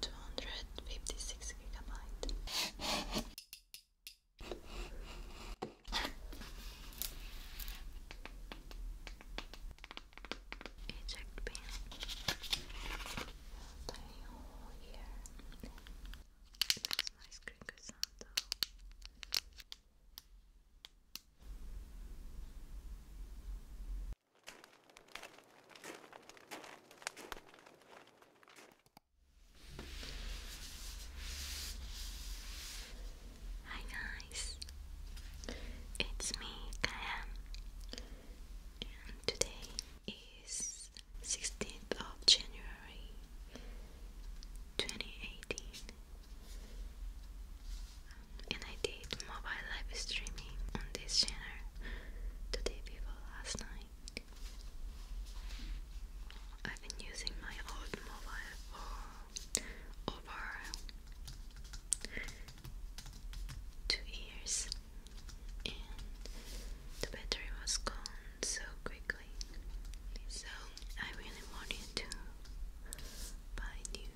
Two hundred fifty six gigabyte. Eject pin. The whole here. That's my screen sound though. Hi guys, it's me, Kaya, and today is 16th of January 2018 and I did mobile live streaming on this channel to the last night. I've been using my old mobile for over two years, and the battery was gone so quickly. So I really wanted to buy new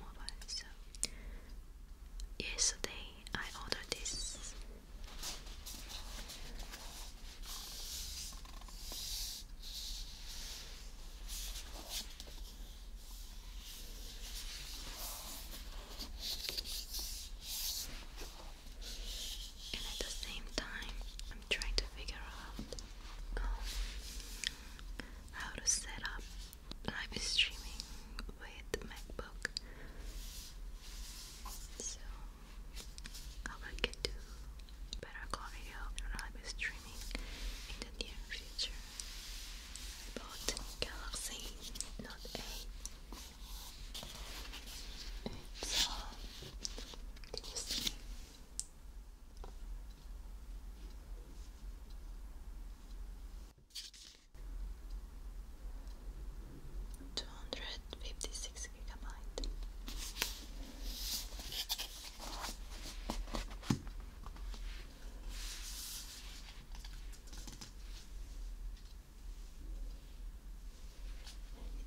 mobile. So yesterday I ordered this. And at the same time, I'm trying to figure out um, how to set up live streaming with MacBook. So how I can do better quality of live streaming in the near future. I Galaxy Note 8. It's um, you see? Two hundred fifty six gigabyte.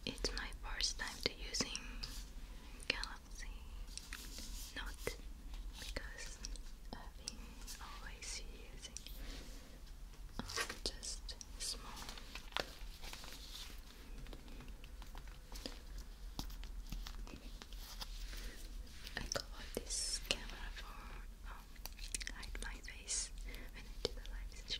It's my first time to using Galaxy Note because I've been always using um, just small. I got this camera for um, hide my face when I do the live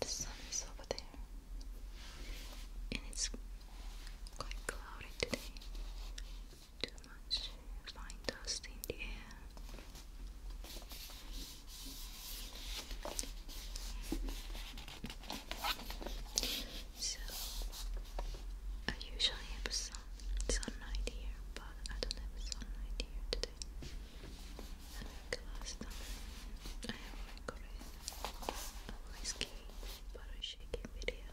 The sun is over there, and it's quite cloudy today. Too much fine dust in the air. So I usually have a sun sunlight here, but I don't have sunlight here today. And like I have recorded a whiskey bottle shaking video.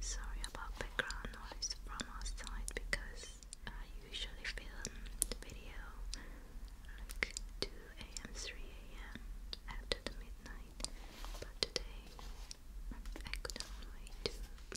sorry about background noise from outside because I usually film the video like 2 a.m., 3 a.m. after the midnight, but today I couldn't wait to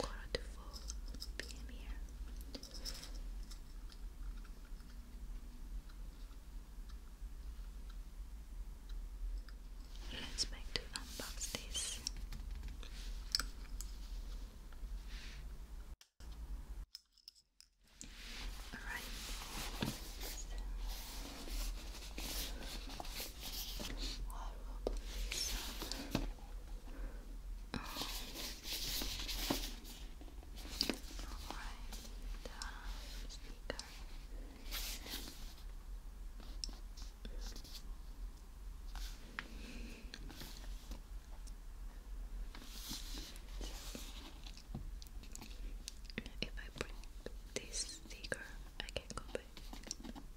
Wonderful being here. Let's make to unbox this. All right. Um, Alright, If I print this sticker, I can go back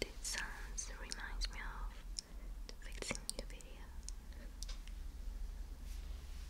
These sounds reminds me of fixing new video.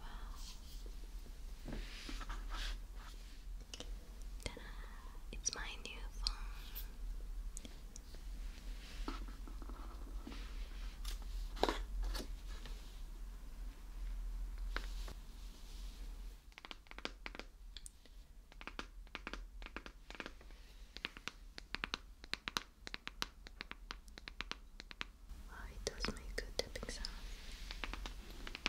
Wow. It's my new phone. Wow, it does make a good tapping sound. Wow,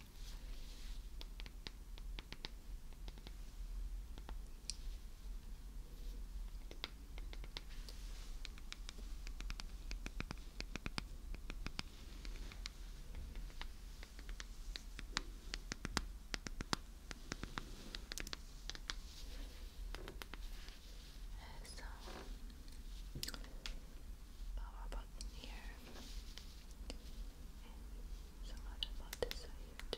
There's some power oh, button here and some other parts are too.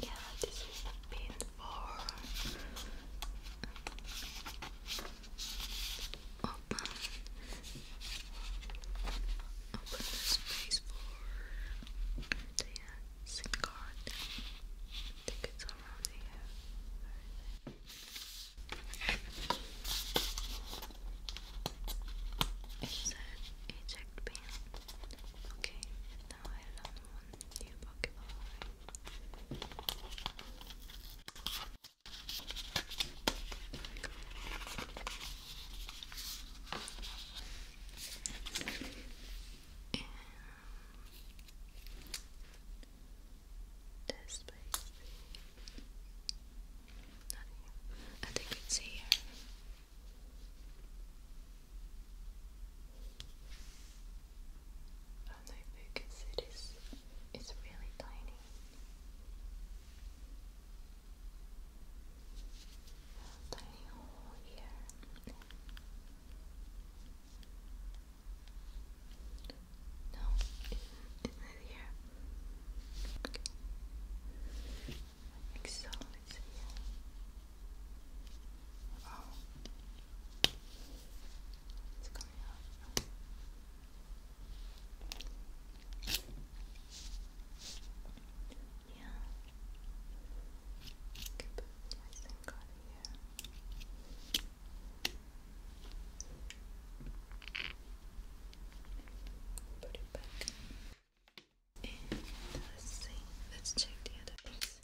Yeah, this is a pin for open, open the space for the uh, SIM card. I think it's around here. Is that eject pin? Okay, now I learn one new Pokeball this place. I think it's here. I don't know if you can see this. It's really tiny. Tiny hole here. No, is it here? Okay. I think so. It's here. Oh. It's coming up. Yeah. I can put my here. Put it back. let's see. Let's check the other piece.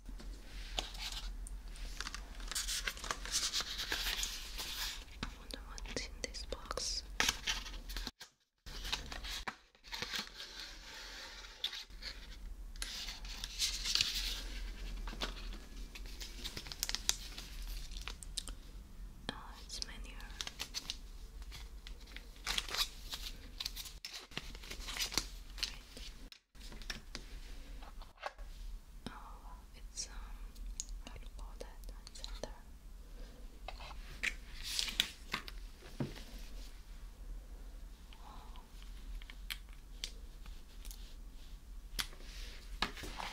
I wonder what's in this box. Oh, it's manure. Oh, it's um, how do call that? It's under. Oh. I think I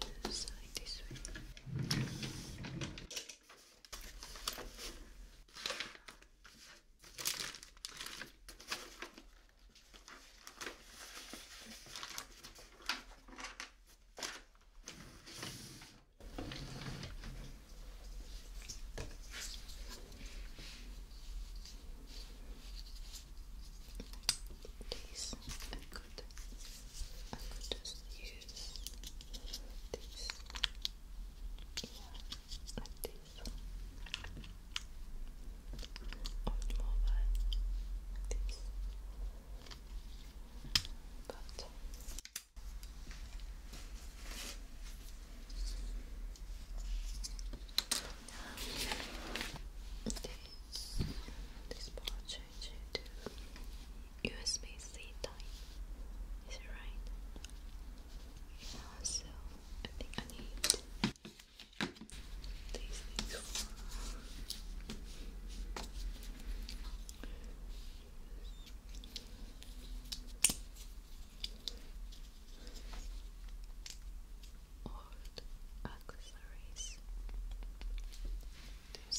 can use like this way. These I could, I could just use these, yeah, like this old mobile like this but this, this part change it to USB-C time. Is it right? So I think I need these things for uh, accessories. This.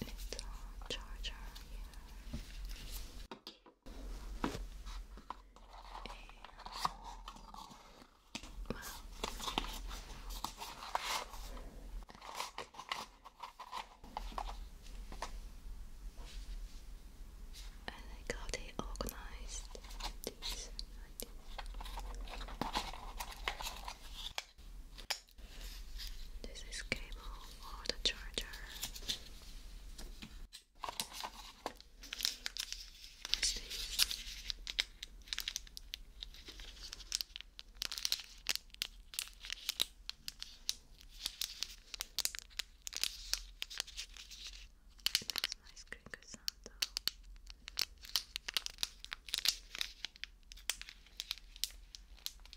Little charger here. And, I got it organized. This is cable or the charger. What's nice crinkle sound though.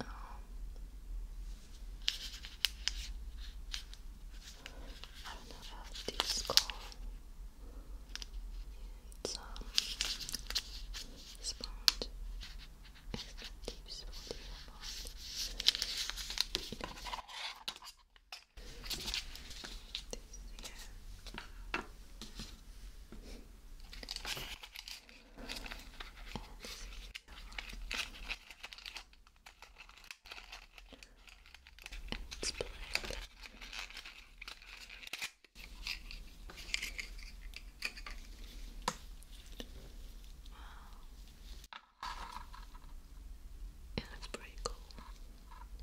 Um, I don't know how this is called. It's sponge. Extractive sponge. This this here. It's black. Wow. It looks pretty cool. Okay.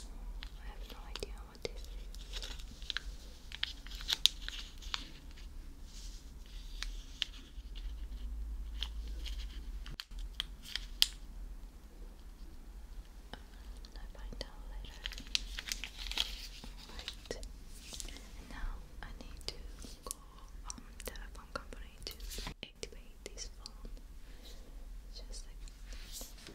I have no idea what this is. I I need to call um telephone company to activate this phone. Just like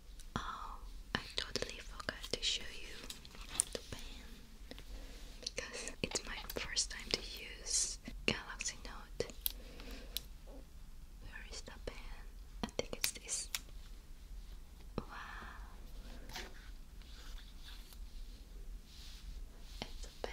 Oh, I totally forgot to show you the pen because it's my first time to use Galaxy Note. Where is the pen? I think it's this. Wow. It's a pen.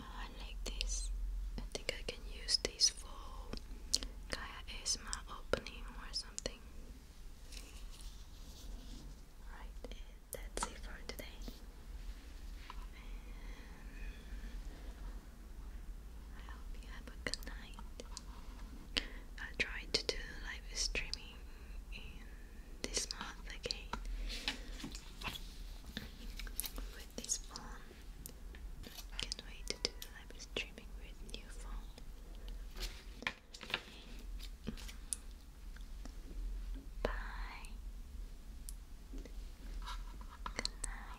I like this. I think I can use this for Gaia my opening or something. Right, that's it for today. I hope you have a good night. I'll to do live streaming this month again with this phone. Can't wait to do live streaming with new phone. Bye. Good night.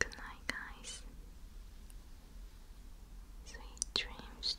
Good night, guys. Sweet dreams.